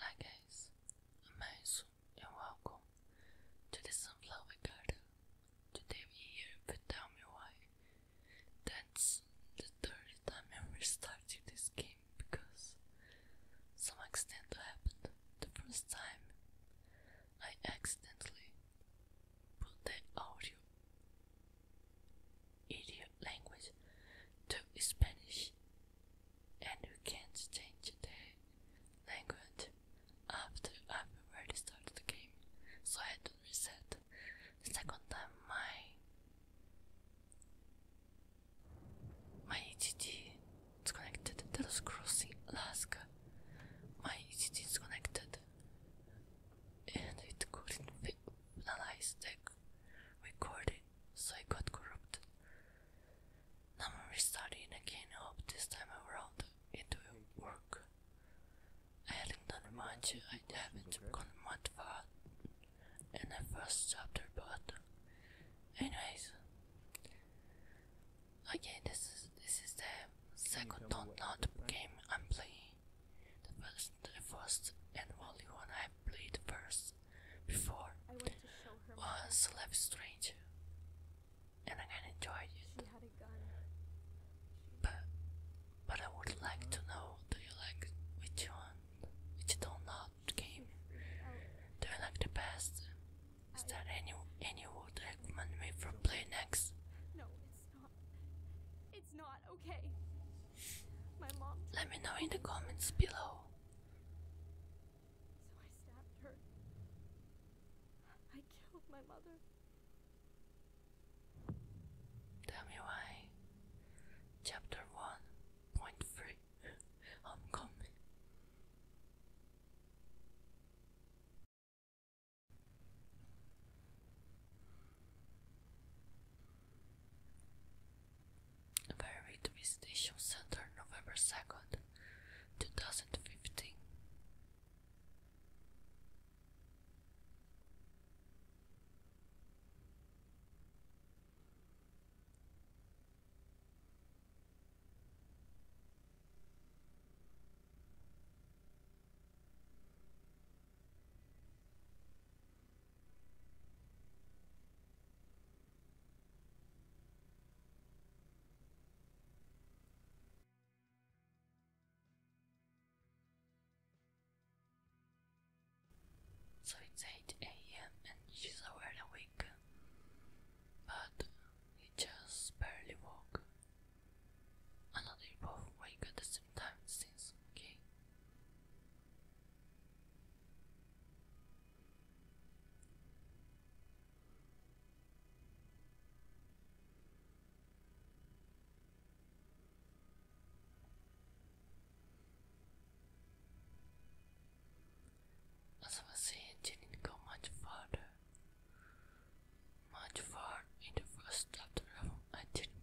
Hi guys, I'm Aisu and welcome to the Sunflower Garden. Today we're here with Tell Me Why. That's the third time I'm restarting this game because some extent happened. The first time I accidentally put the audio idiot language to Spanish, and you can't change the language after I've already started the game, so I had to reset the second time my my EGT is connected. That was crossing Alaska. My EGT is connected, and it couldn't finalize the recording so I got corrupted. Now I'm restarting again, I hope this time around it will work. I haven't done much, I haven't gone much far in the first chapter, but anyways. Okay, this is this is the second not game I'm playing. The first the first and only one I have bleed first before it was left strange and I kinda enjoyed it. But but I would like to know do you like which one which don't not game? Do you like the best? Is there any any would recommend me for play next? No, it's not. It's not okay. Let me know in the comments below. So I stabbed her. I killed my mother. Tell me why. Chapter 1.3 Varied Visitation Center, November 2nd, 2015. So it's 8 am and she's already awake, but he just barely woke. And both wake at the same time since, okay? As I was saying, didn't go much further. Much far in the first afternoon, I didn't,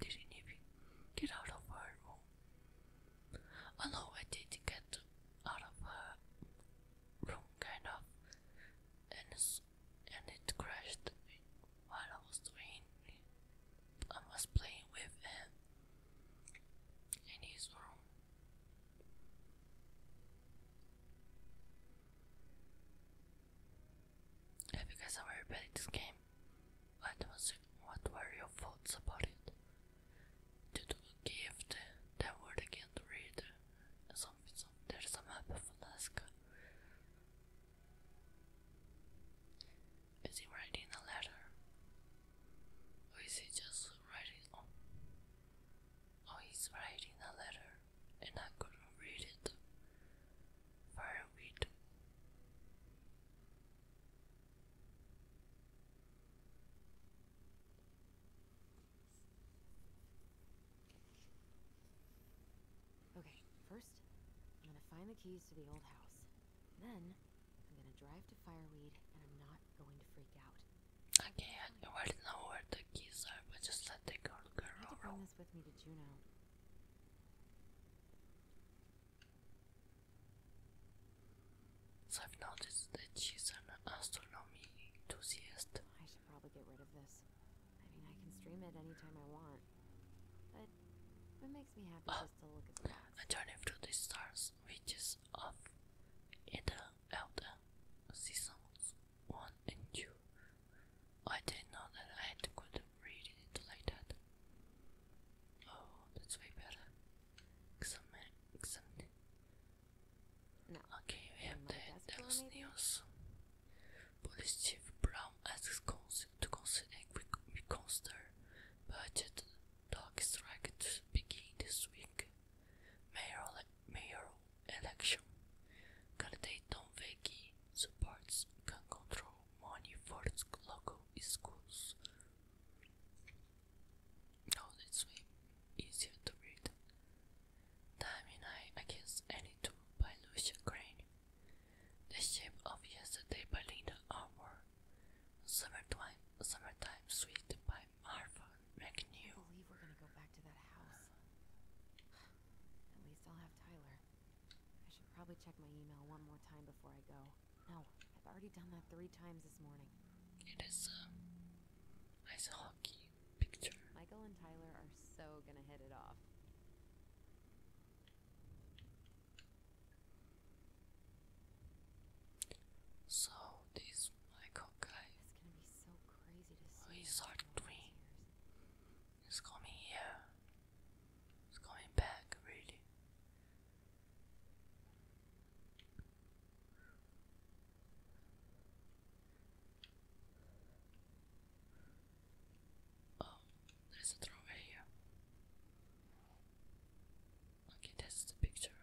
didn't even get out of her room. I know I did get out of her room kind of, and and it crashed while I was doing. I was playing with him in his room. Have you guys ever played this game? What was What were your thoughts about it? Did you give the, the word again to read? Something, There's a map of Is he writing a letter? Or is he just writing? Oh, oh he's writing a letter, and I couldn't read it. Fire weed. Okay, first, I'm gonna find the keys to the old house. Then, I'm gonna drive to Fireweed, and I'm not going to freak out. Okay, I already know where the keys are, but just let the girl go. I have to bring this with me to Juno. I've noticed that she's an astronomy enthusiast. I should probably get rid of this. I mean, I can stream it anytime I want. But it makes me happy uh, just to look at the A journey through the stars, which is of Ida Elder seasons 1 and 2. I didn't know that I had, could read it like Oh, that's way better. Xamen, Xamen. Okay, we have the Dallas News. Police Chief Brown asks to consider reconsider budget dog strike to begin this week. Mayor, mayor election. Candidate Tom Vecchi supports gun control money for local schools. No, this way easier to read. Time and I Against Any Two by Lucia Crane. The Shape of Yesterday by Linda Armour. Summertime, Summertime Sweet by Marva McNew. I believe we're gonna go back to that house. At least I'll have Tyler. I should probably check my email one more time before I go. No, I've already done that three times this morning. It is a uh, ice hockey picture. Michael and Tyler are so gonna hit it off. So this Michael guy oh, He's hard twin. He's coming here. He's coming back really. Oh, there's a doorway here. Okay, that's the picture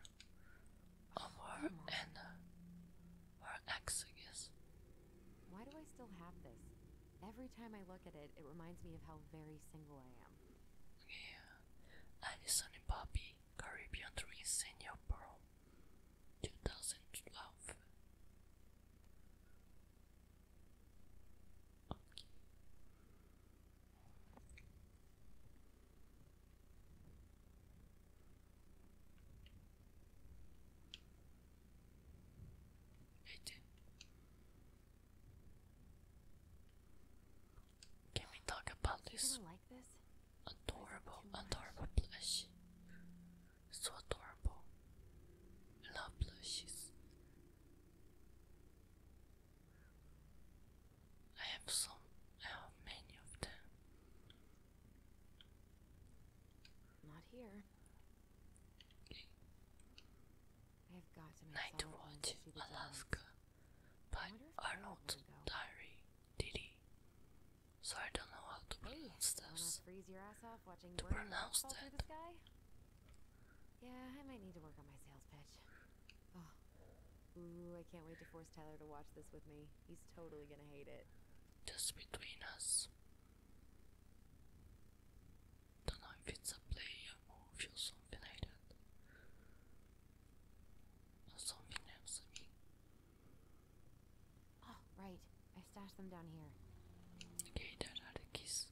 of her and uh, her Why do I still have this? Every time I look at it, it reminds me of how very single I am. Okay, Alison Bobby, Caribbean Dream Senior Pro, 2012. Okay. Can we talk about this adorable, adorable plushie? So adorable. I love I have some, I have many of them. Not here. I have got Night Watch Alaska by Arnold Diary Diddy. So I don't know how to pronounce hey, this. Freeze Yeah, I might need to work on my sales pitch. Oh. Ooh, I can't wait to force Tyler to watch this with me. He's totally gonna hate it. Just between us. Don't know if it's a player or if you're something like something else, I mean. Oh, right. I stashed them down here. Okay, there are the keys.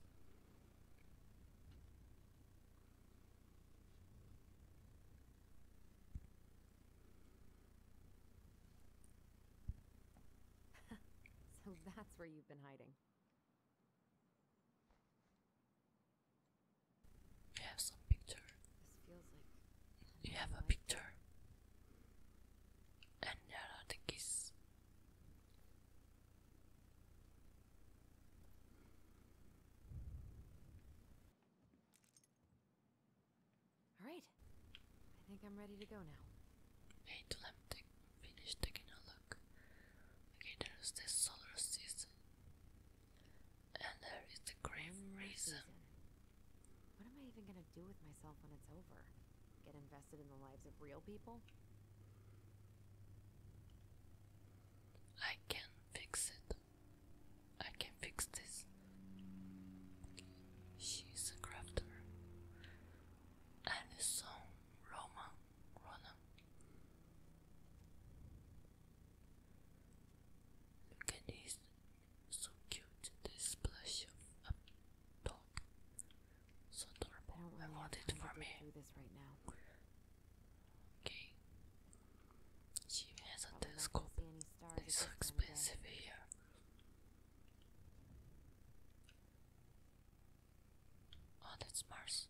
so that's where you've been hiding. You have some picture. you have a picture. And there the keys. Alright. I think I'm ready to go now. Wait till I'm finished taking a look there's the solar system. And there is the Grim Reason. What am I even gonna do with myself when it's over? Get invested in the lives of real people? I can fix it. I can fix this. She's a crafter. And a Roman Ronan. Candy's so cute, this splash of a dog. So adorable, I, want it for me. Okay. She has a telescope that is so expensive here. Oh, that's Mars.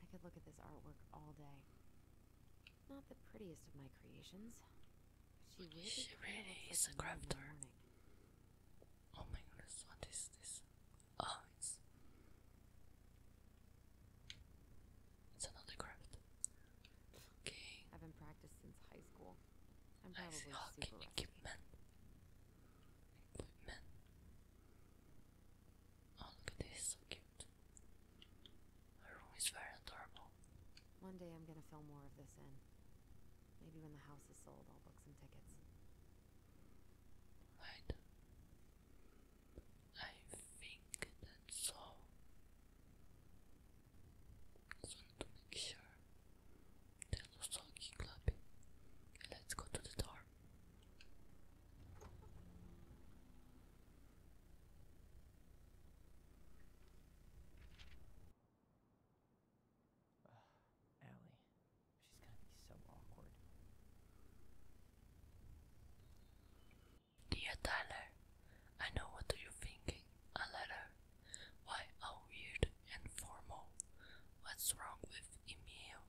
I could look at this artwork all day. Not the prettiest of my creations, she really, is a crafter. Oh my goodness, what is this? Oh, it's it's another craft. Okay. I've been practiced since high school. I'm probably I see. Oh, Oh, look at this, so cute. Her room is very adorable. One day I'm gonna fill more of this in. Maybe when the house is sold, I'll book tickets. Right. I think that's all. Just to make sure. There's no talking club. let's go to the door. Dear Tyler, I know what you're thinking. A letter. Why, how weird and formal. What's wrong with email?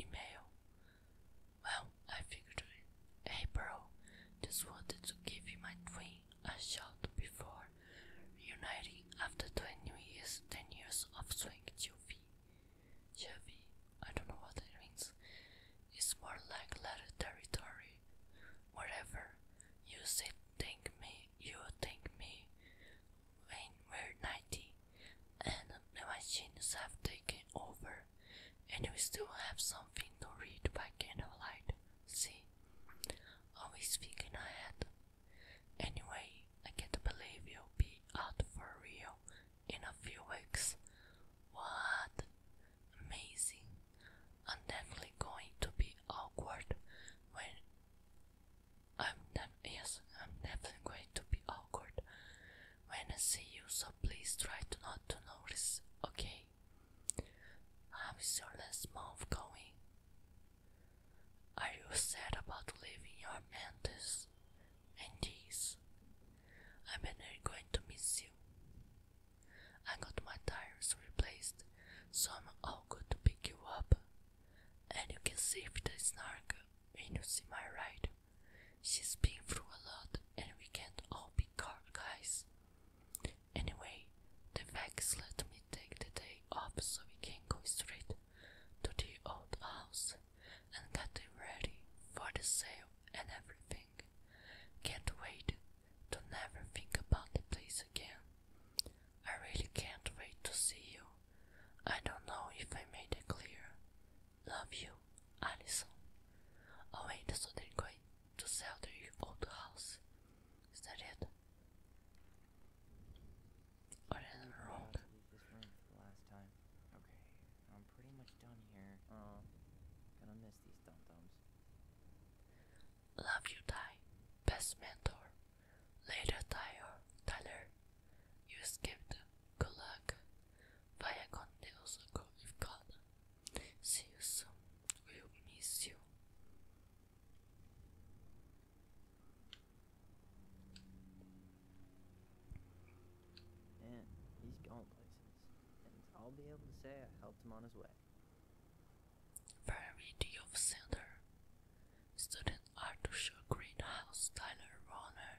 email? Well, I figured it. Hey, bro, just wanted to give you my dream a shot before reuniting after 20 years, 10 years of swing Jovi. Jovi, I don't know what it means. It's more like letter territory. Wherever you say thank me, you thank me. When we're 90, and the machines have taken over, and we still have something to read by candlelight. See, always thinking ahead. Anyway, I can't believe you'll be out for real in a few weeks. What? Amazing. i definitely going to be awkward when I'm never yes, I'm never going to be awkward when I see you, so please try to not to notice, okay? How is your last month going? Are you sad about leaving your mantis and these? I bet they going to miss you. I got my tires replaced, so I'm all good to pick you up. And you can see if the snark when you see my ride. She's been through a lot and we can't all be card guys. Anyway, the Vex let me take the day off so we can go straight to the old house and get it ready for the sale and everything. Can't wait to never think about the place again. I really can't wait to see you. I don't know if I made it clear. Love you, Alison. Oh wait, so they're going to sell the old house. Is that it? I'm pretty much done here. Love you, Ty. Best mentor. Later, Tyler. Tyler. You escaped. Good can Vaya con Dios, go with God. See you soon. We'll miss you. Man, he's going places, and I'll be able to say I helped him on his way. Very of Center. Students are greenhouse Tyler Warner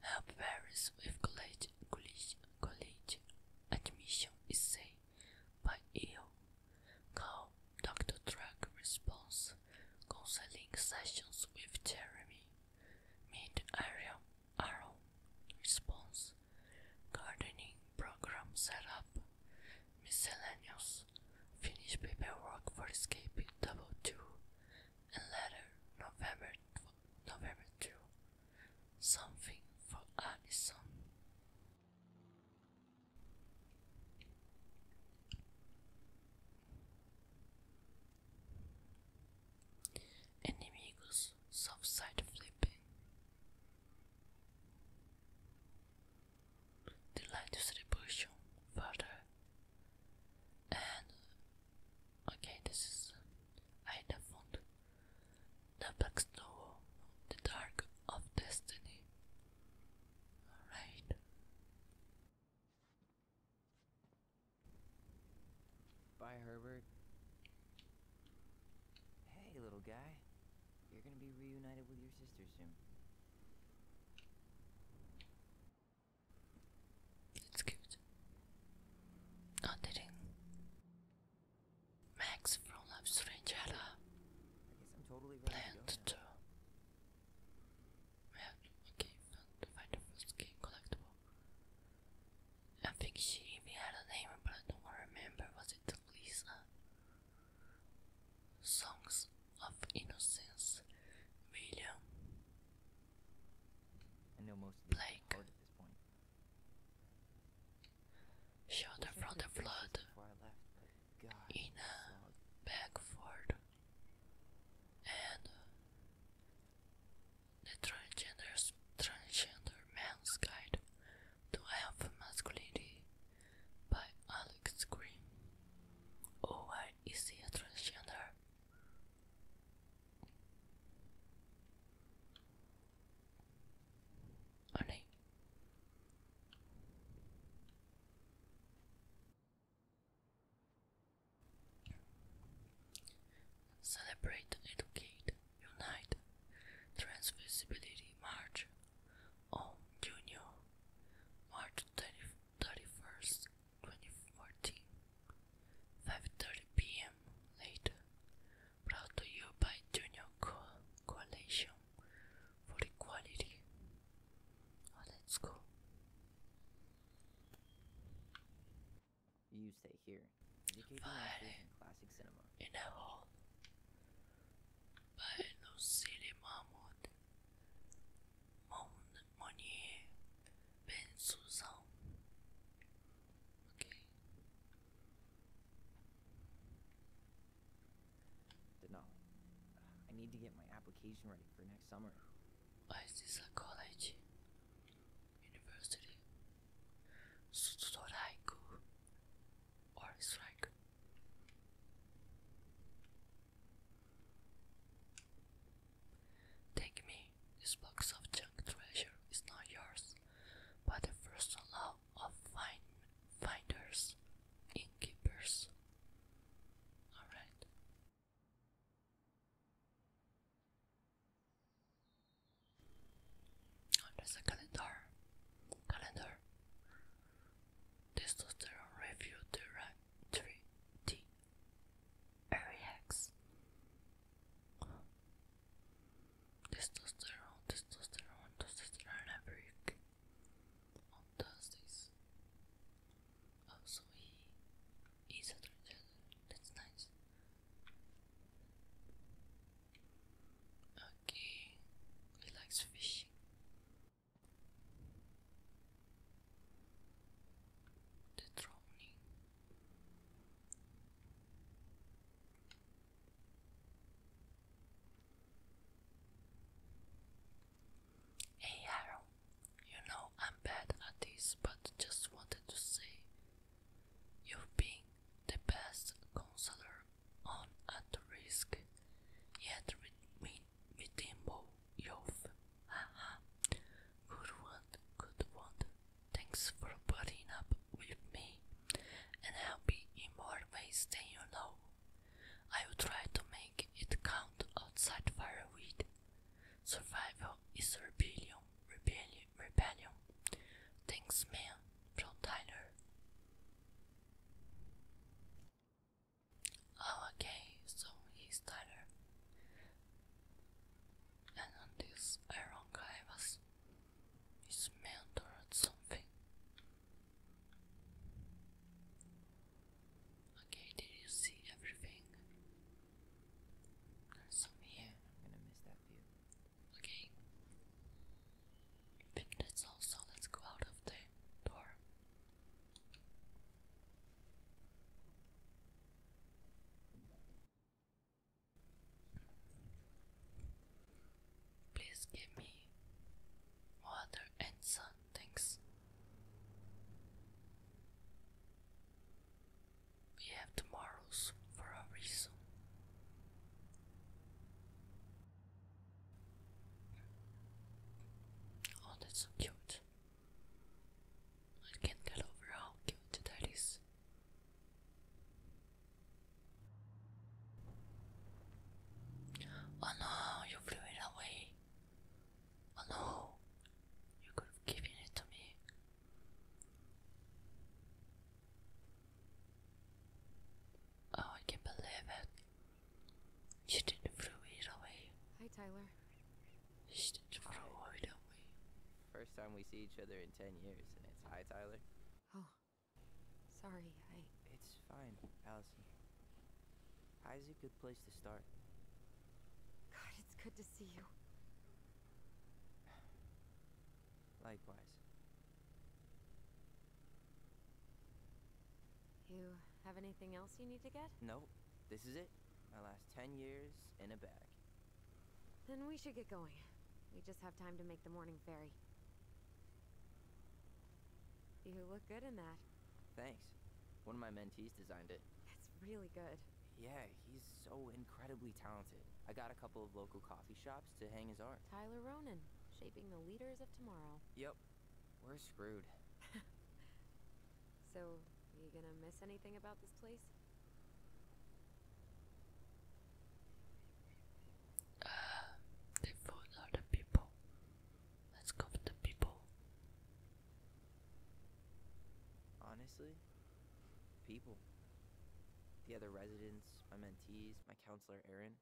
Help parents with college, college, college admission essay by email. Call Dr. Drug Response Counseling Sessions with Jeremy. Meet Ariel Arrow Response Gardening Program Setup Miscellaneous Finish paperwork for escaping Double Two and letter November November 2 Something for Alison. Inimigos soft side flipping. The light distribution further and Okay, this is I the The Black Snow, the Dark of Destiny. Alright. Bye, Herbert. Hey, little guy. You're gonna be reunited with your sister soon. It's cute. Not Max from Life Strange had to do. have a game to the first game collectible. I think she even had a name, but I don't remember. Was it Lisa? Songs of Innocence, William I know most of these are this point. Shelter from the flood. Left, in a backward. And transgender, transgender man's guide to health masculinity by Alex Green. Oh, I see a transgender? Oh Celebrate, educate, unite, transvisibility march on oh, Junior March 30, 31st 2014, 5.30 p.m. later, brought to you by Junior Co Coalition for Equality. Oh, let's go. You stay here. Fighting In a hole. By no silly mammoth. Monier Ben Susan. Okay. No, I need to get my application ready for next summer. Why is this a college? University? Strike or strike? Take me, this box of junk treasure is not yours, but the first law of finders, innkeepers. Alright. Oh, there's a calendar. Calendar. Testosterone review the right 3D. Ariax. Testosterone, testosterone, testosterone every week on Thursdays. Oh, so he is a That's nice. Okay, he likes fishing the drowning. Hey Harold, you know I'm bad at this, but just wanted to say you've been the best counselor on at risk, yet with me, redeemable youth. good one, good one. Thanks for putting up with me and I'll be in more ways than you know. I will try to make it count outside fireweed. Survival is rebellion, rebellion, rebellion. Thanks, man, from Tyler. Oh, okay, so he's Tyler and on this iron was, is mentored something. Okay, did you see everything? some here. to miss that Okay. But that's let's go out of the door. Please give me water and sun, thanks. We have tomorrows for a reason. Oh, that's so cute. I can't get over how cute that is. Oh no, you blew it away. Oh no, you could have given it to me. Oh, I can't believe it. You didn't throw it away. Hi, Tyler. She didn't throw it away. First time we see each other in 10 years, and it's hi, Tyler. Oh, sorry, I... It's fine, Allison. Hi Hi's a good place to start. God, it's good to see you. Likewise. You have anything else you need to get? Nope. This is it. My last 10 years in a bag. Then we should get going. We just have time to make the morning ferry. You look good in that. Thanks. One of my mentees designed it. That's really good. Yeah, he's so incredibly talented. I got a couple of local coffee shops to hang his art. Tyler Ronan, shaping the leaders of tomorrow. Yep. We're screwed. so, are you gonna miss anything about this place? Uh, they vote are the people. Let's go for the people. Honestly, people. The other residents, my mentees, my counselor Aaron.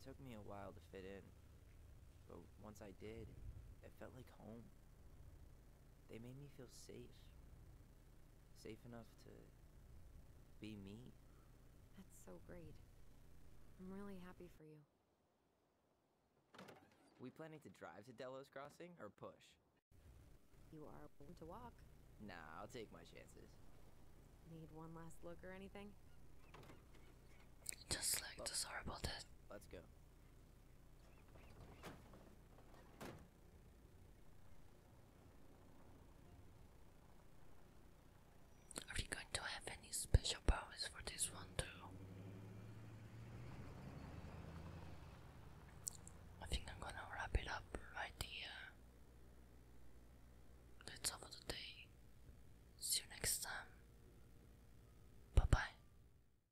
It took me a while to fit in, but once I did, it felt like home. They made me feel safe. Safe enough to be me. That's so great. I'm really happy for you. We planning to drive to Delos Crossing or push? You are willing to walk. Nah, I'll take my chances. Need one last look or anything? Just like to sorry about that. Let's go. Are you going to have any special powers for this one too? I think I'm gonna wrap it up right here. That's all for today. See you next time. Bye bye.